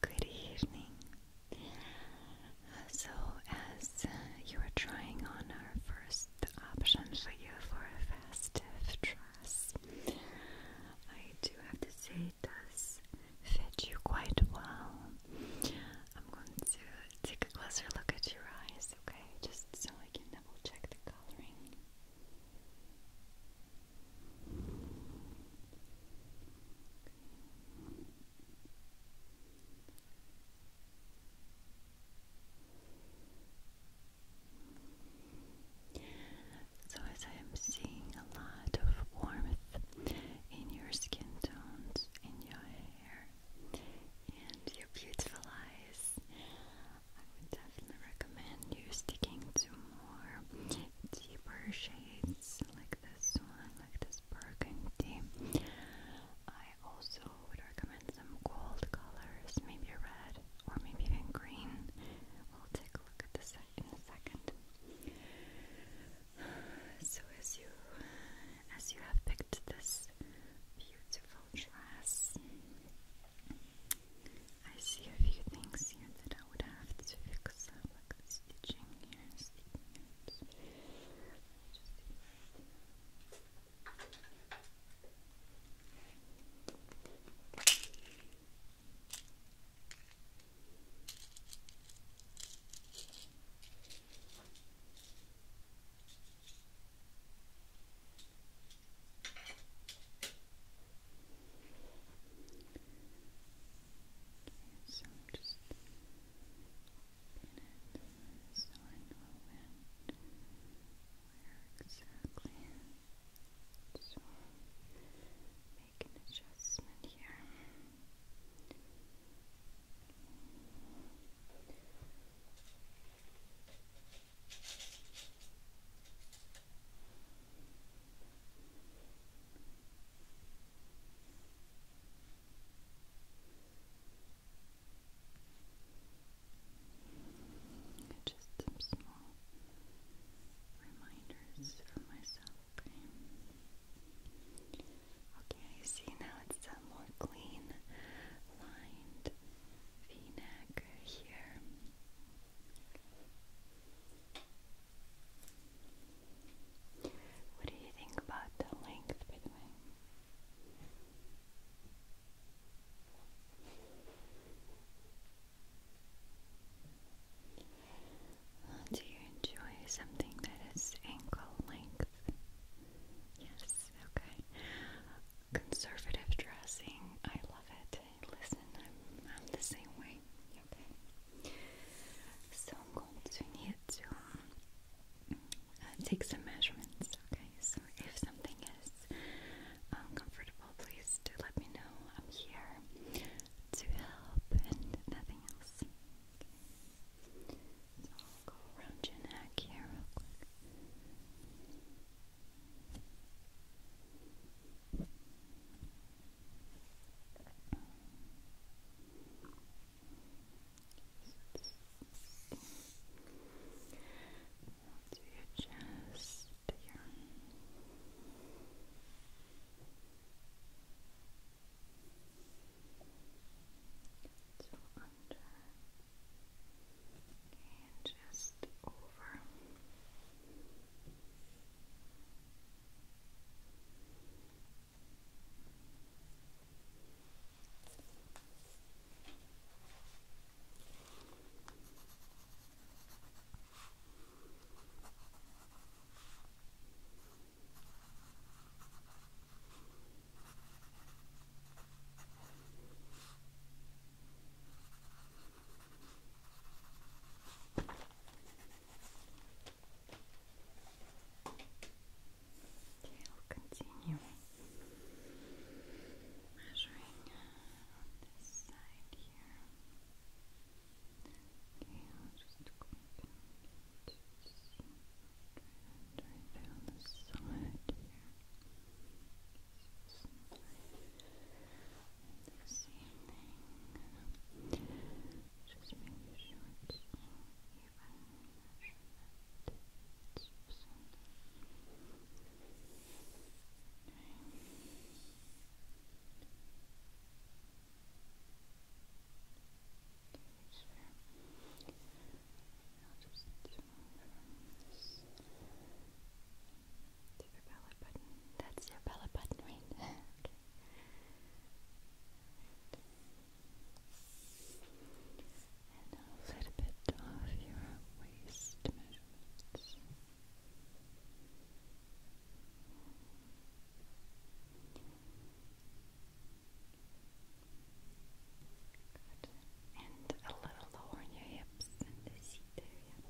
Good evening. So, as uh, you are trying on our first option for you for a festive dress, I do have to say it does fit you quite well. I'm going to take a closer look at your eyes, okay? Just so I can double check the coloring. So, as I am seeing a lot of warmth in your skin tones, in your hair, and your beautiful eyes, I would definitely recommend you sticking to more deeper shades like this one, like this burgundy. I also would recommend some gold colors, maybe red or maybe even green. We'll take a look at this in a second. So as you as you have picked this beautiful dress, I see a few things here that I would have to fix up, like the stitching here and sticking so just open it so I know when, where exactly. So make an adjustment here. Okay. Just some small reminders for myself. Okay, see now it's a more clean lined v neck here. What do you think about the length, by the way? do you enjoy something that is ankle length? Yes, okay conservative dressing. I love it. Listen, I'm, I'm the same way. Okay. So I'm going to need to uh, take some measurements. Okay. So if something is uncomfortable, um, please do let me know. I'm here to help and nothing else. So I'll go around your neck here real quick. Onto your chest here. under and just over. And Okay, we'll continue measuring on this side here. Okay, I'm just going to just try to draw down the side here. Okay the same thing. Just make sure it's all even. It's Okay, sure. I'll just that's your belly button, right? And a little bit of your waist measurements. Right. Good. And a little lower on your hips and the seat area.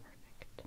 Perfect. Good.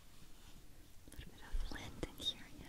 A little bit of lint in here, yeah.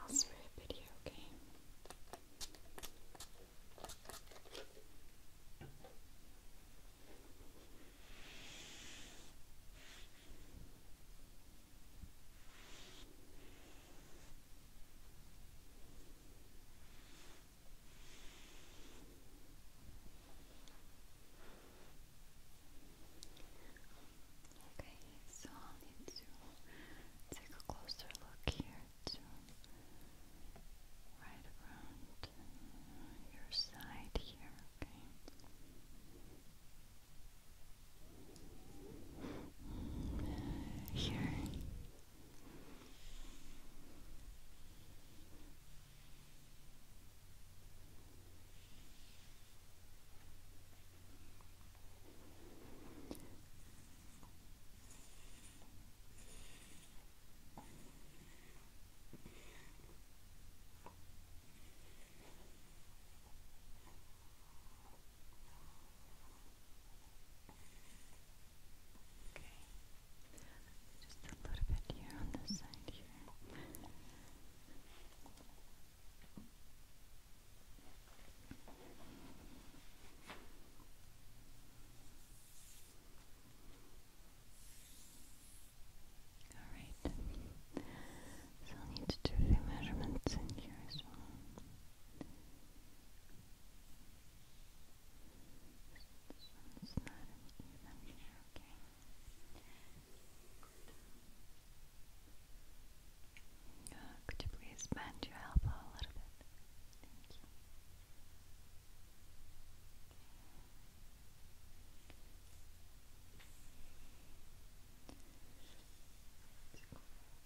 I'll spray a bit here, Okay, so I'll need to take a closer look here to right around your side here, Okay here. Here. Okay. Just a little bit here on this side here. Alright, so I'll need to do the measurements in here as well could you please bend your elbow a little bit? Thank you.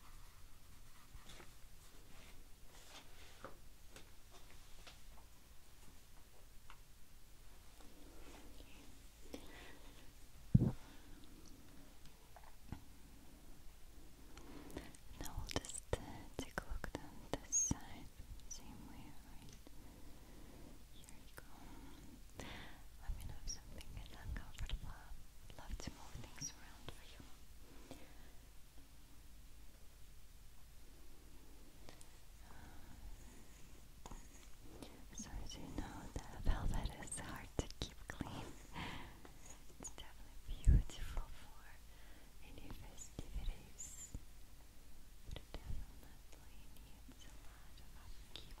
Okay. Now we'll just uh, take a look down this side, same way, Here you go. Let me know if something gets uncomfortable. I'd love to move things around around you. Uh, so as you know, the velvet is hard to keep clean. It's definitely beautiful for any festivities, but definitely needs a lot of upkeep.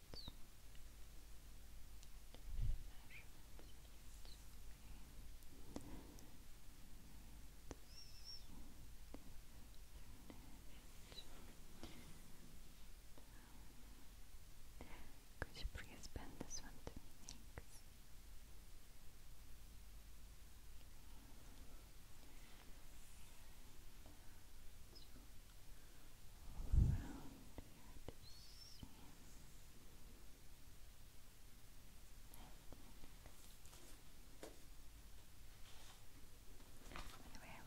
measurements. Could you please bend this one Thanks around here to see. Anyway,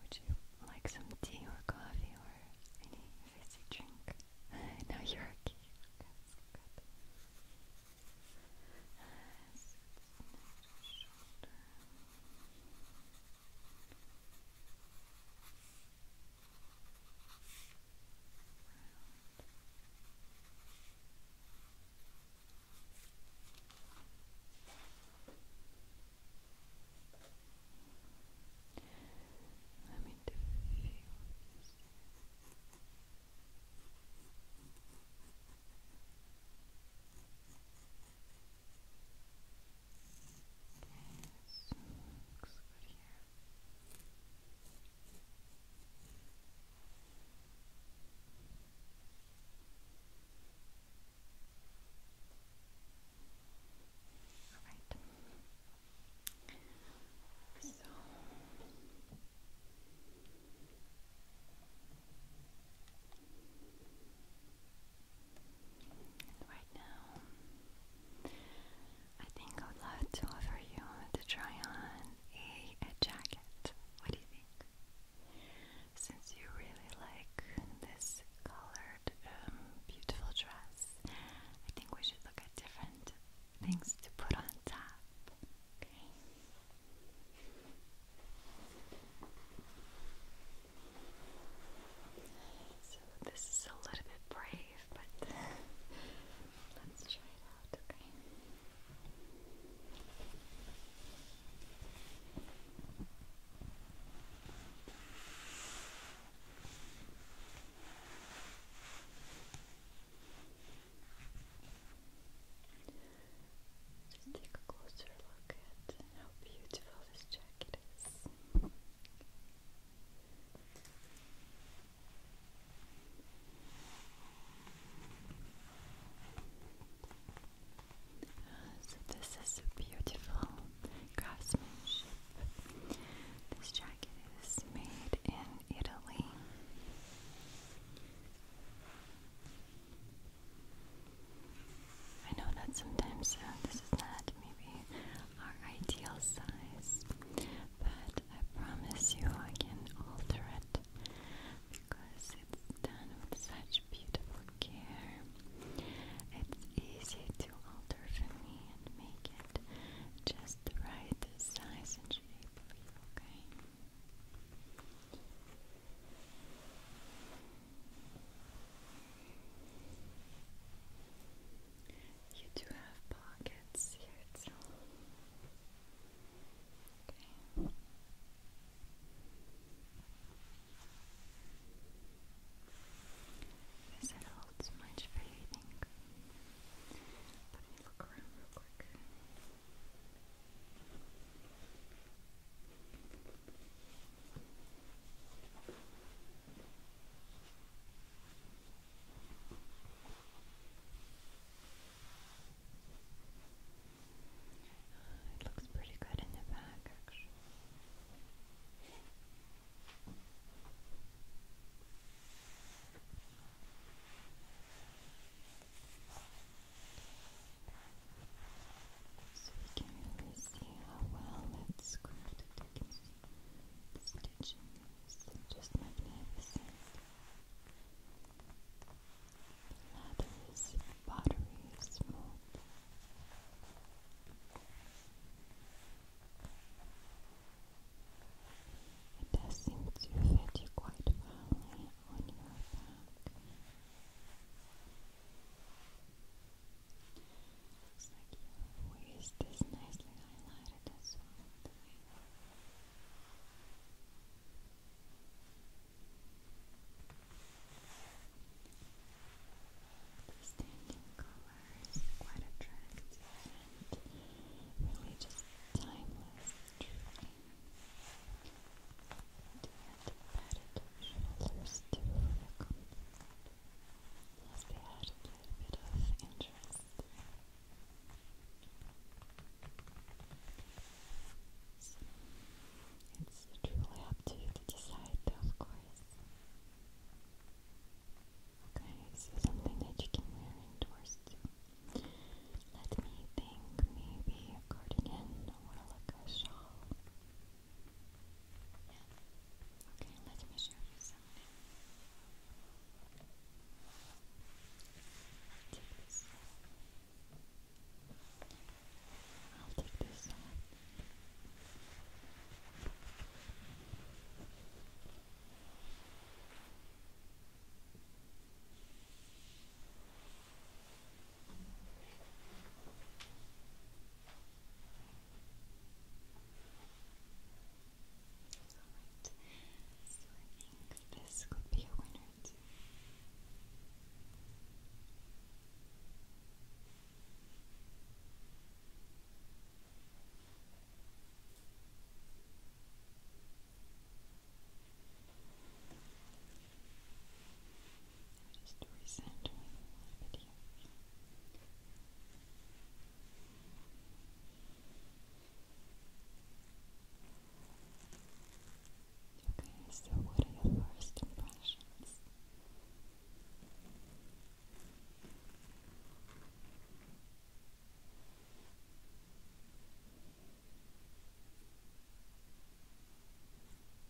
would you like some tea or coffee or any fizzy drink? no, you're okay. That's good. Uh, so it's next shoulder. Let me do a few Yes, looks good here. All right. So right now. I think I would love to offer you to try on a, jacket. What do you think? Since you really like this colored, um, beautiful dress, I think we should look at different things to put on top. Okay. So this is a little bit brave, but let's try it out, take a closer look at how beautiful so this is a beautiful craftsmanship. This jacket is made in Italy. I know that sometimes uh, this is not maybe our ideal size, but I promise you I can alter it because it's done with such beautiful care. It's easy to alter for me and make it just the right size and shape Okay, you do have pockets here too. Okay. Is that a too much for you, Let me look around real quick. It looks pretty good in the back, actually. So we can really see how well it's squared. You the stitching is just magnificent. The leather is buttery smooth. It does seem to fit you quite well on your back. Looks like you have this nicely highlighted as well. The color is quite attractive and really just timeless, the patted her shoulders to her comfort, as a little bit of interest. it's truly up to you to decide, of course. Okay, so something that you can wear indoors too. Let me think, maybe a cardigan or like a shawl. Yeah. Okay, let me show you something. I'll take this. I'll take this one. Okay. Alright, so I think this could be a winner too and just recentering Okay, so what are your first impressions?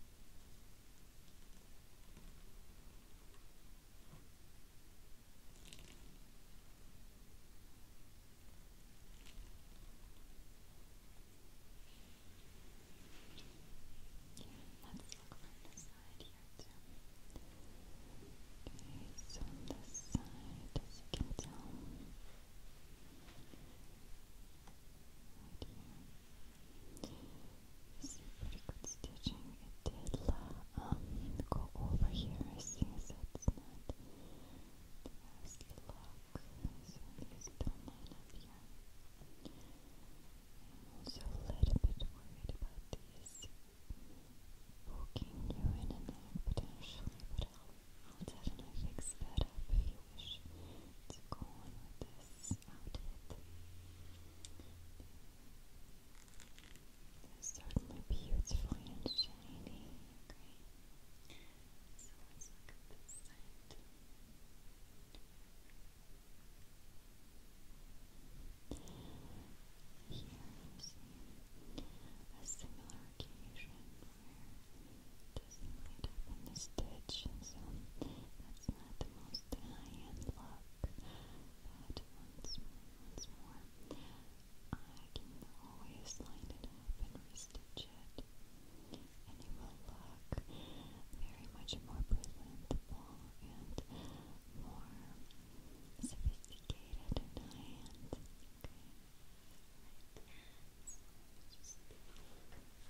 let's look from the side here too. Okay, so this side, you can tell, Right stitching. It did um, go over here. I see, so it's not the best So these don't line up here. I'm also a little bit worried about these poking you in the neck potentially, but I'll definitely fix that up if you wish what's going on with this outfit. It's certainly beautifully and shiny. Great. So let's look at this side. Here you see a similar occasion just a little bit of stitch, so that's not the most high-end look, but once, once more, I can always line it up and restitch it, and it will look very much more presentable and more sophisticated and high-end,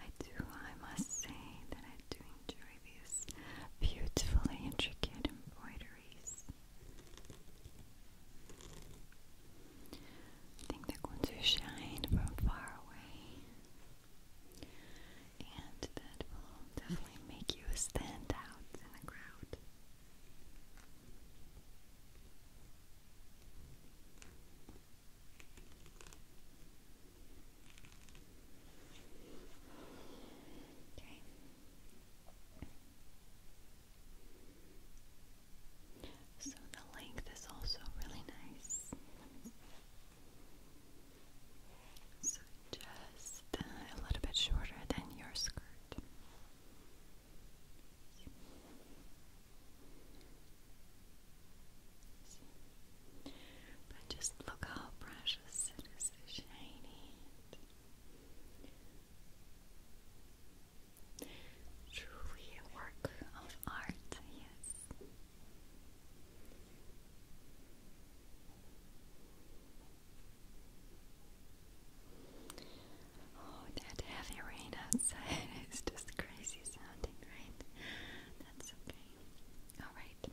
I do, I must say that I do enjoy these beautifully intricate embroideries. think they're going to shine from far away, and that will definitely make you stand out in the crowd. Okay. So the length is also really nice. just a little bit shorter than your skirt. But just look how precious it is, shiny. Truly a work of art, yes. Oh, that heavy rain outside is just crazy sounding, right? That's okay. Alright.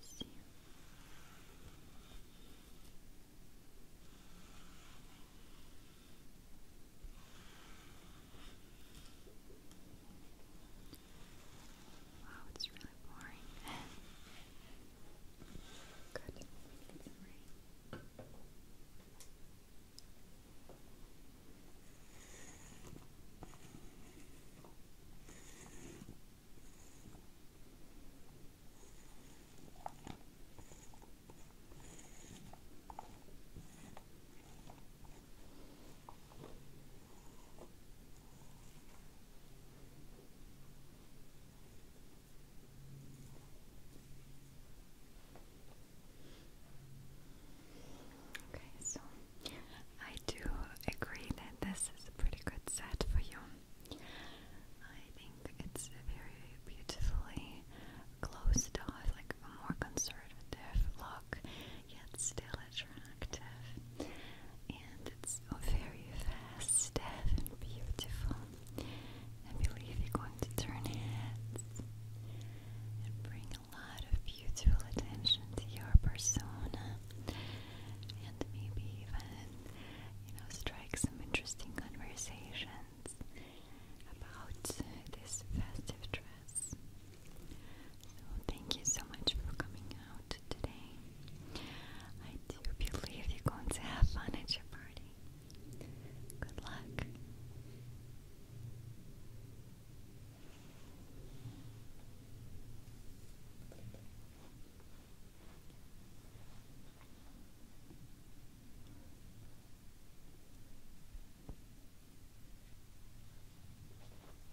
So. let Wow, it's really boring. Good. We need some rain. Okay, so I do agree that this is a pretty good set for you. I think it's very beautifully closed off, like a more conservative look, yet still attractive and it's very festive and beautiful. I believe you're going to turn heads and bring a lot of beautiful attention to your persona and maybe even, you know, strike some interesting conversations about this festive dress. So thank you so much for coming out today. I do believe you're going to have fun at your party. Good luck.